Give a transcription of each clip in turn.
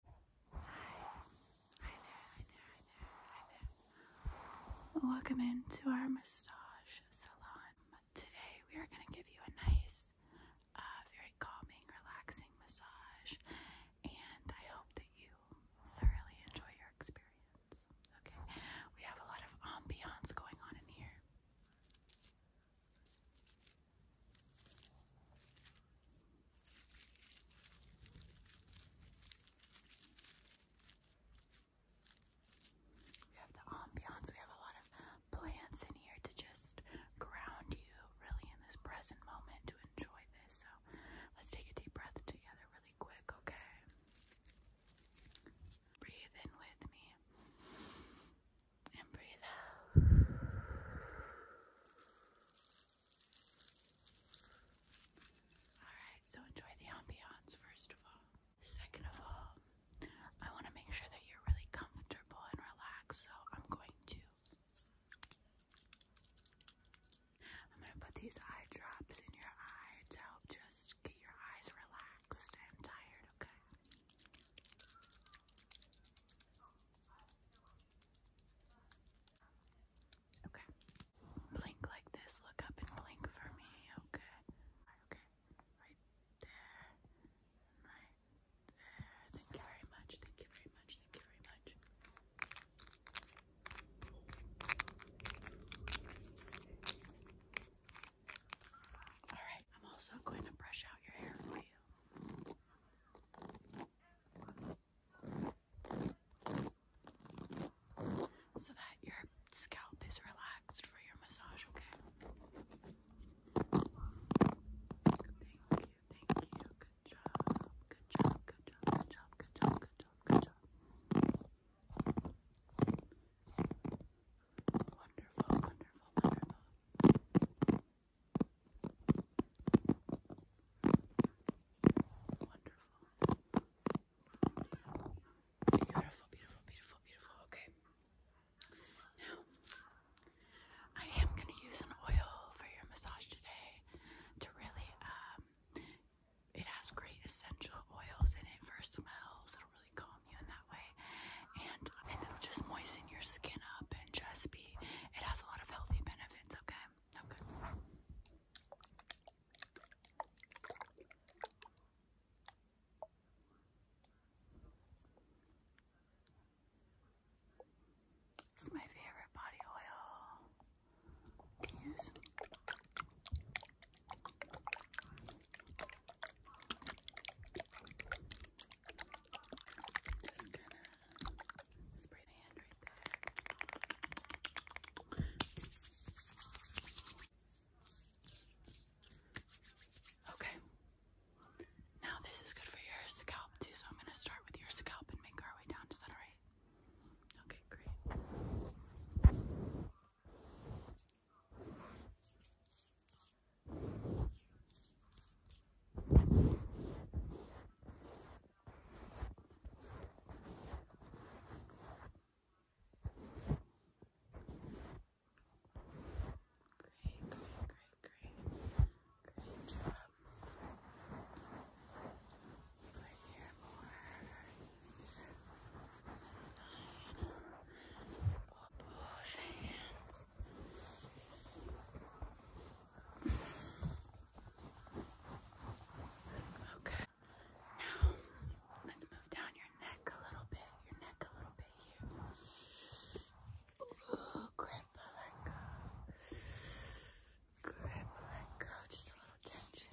Hi there, hi there, hi there, hi there. Welcome into our massage salon. Today we are going to give you a nice, uh, very calming, relaxing massage, and I hope that you thoroughly enjoy your experience. Okay, we have a lot of ambiance going on in here. We have the ambiance, we have a lot of plants in here to just ground you really in this present moment to enjoy this. So let's take a deep breath together really quick, okay? Breathe in with me and breathe out. Alright, so enjoy the ambiance first of all. Second of all, I want to make sure that you're really comfortable and relaxed, so I'm going to. I'm going to put these eye drops in your eyes to help just get your eyes relaxed. I'm tired, okay? Okay. Blink like this. Look up and blink for me. Okay. Okay. Right there. Right there. Thank you very much. Thank you very much. Thank you very much. Alright, I'm also going to brush out your hair for you. So that your scalp is relaxed for your massage, okay? Thank you, thank you. Good job, good job, good job, job, good job, good job, good job. Wonderful, wonderful, wonderful. Wonderful. Beautiful, beautiful, beautiful, beautiful. Okay. Now, I am going to use an oil for your massage today to really, um, it has great essential oils in it for smells calm you in that way, and and it'll just moisten your skin up and just be. It has a lot of healthy benefits. Okay. Okay. It's my favorite body oil to use. Okay. Now this is good for your scalp too, so I'm gonna start with your scalp and make our way down. Is that alright? Okay, great. Great, great, great, great, great job. Right here more. Okay. Now let's move down your neck a little bit. Your neck a little bit here. grip, let go. Grip, let go. Just a Attention!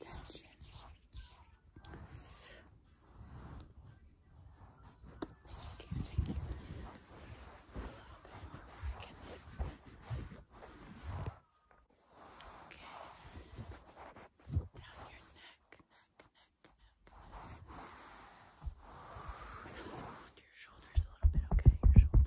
tension. Okay. Down your neck, neck, neck, neck, neck. Just around your shoulders a little bit, okay? Your shoulders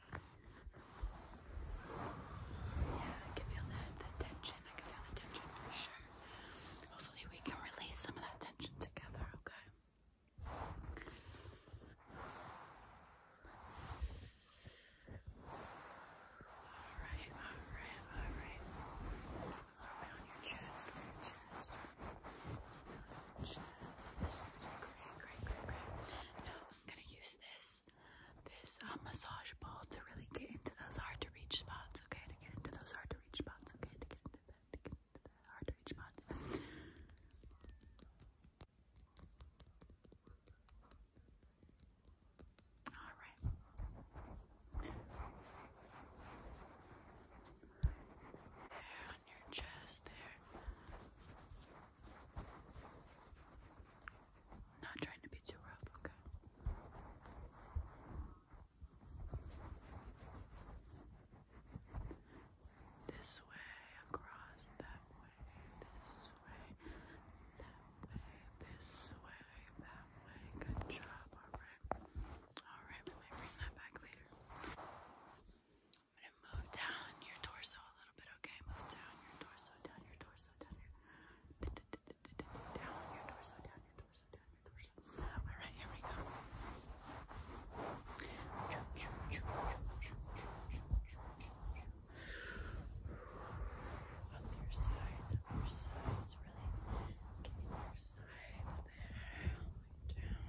Yeah, I can feel the, the tension. I can feel the tension for sure. Hopefully, we can release some of that tension together, okay? Alright, alright, alright. A little on your chest, your chest. Chest. Great, great, great, great. Now, I'm gonna use this this uh, massage ball to really get into those hard to reach spots. Okay, to get into those hard to reach spots. Okay, to get into that, get into the hard to reach spots. All right. There on your chest there. I'm not trying to be too rough, okay? This way, across that way, this way, that way, this way, that way. Good job, alright. Alright, we might bring that back later. I'm gonna move down your torso a little bit, okay? Move down your torso, down your torso, down your down your torso, down your torso, down your torso. Alright, here we go. Up your sides, up your sides, really. Get your sides there. Down. Down.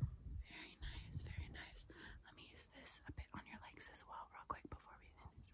Very nice, very nice. Let me use this a bit on your legs as well, real quick, before we finish.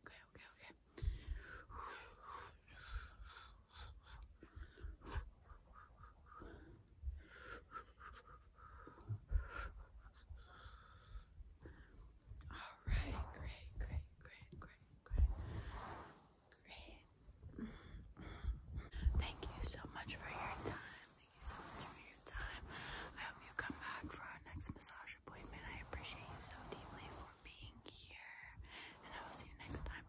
Alright, Okay, okay, okay. All right, great, great, great, great, great, Thank you so much for your time. Thank you so much for your time. I hope you come back for our next massage appointment. I appreciate you so deeply for being here, and I will see you next time.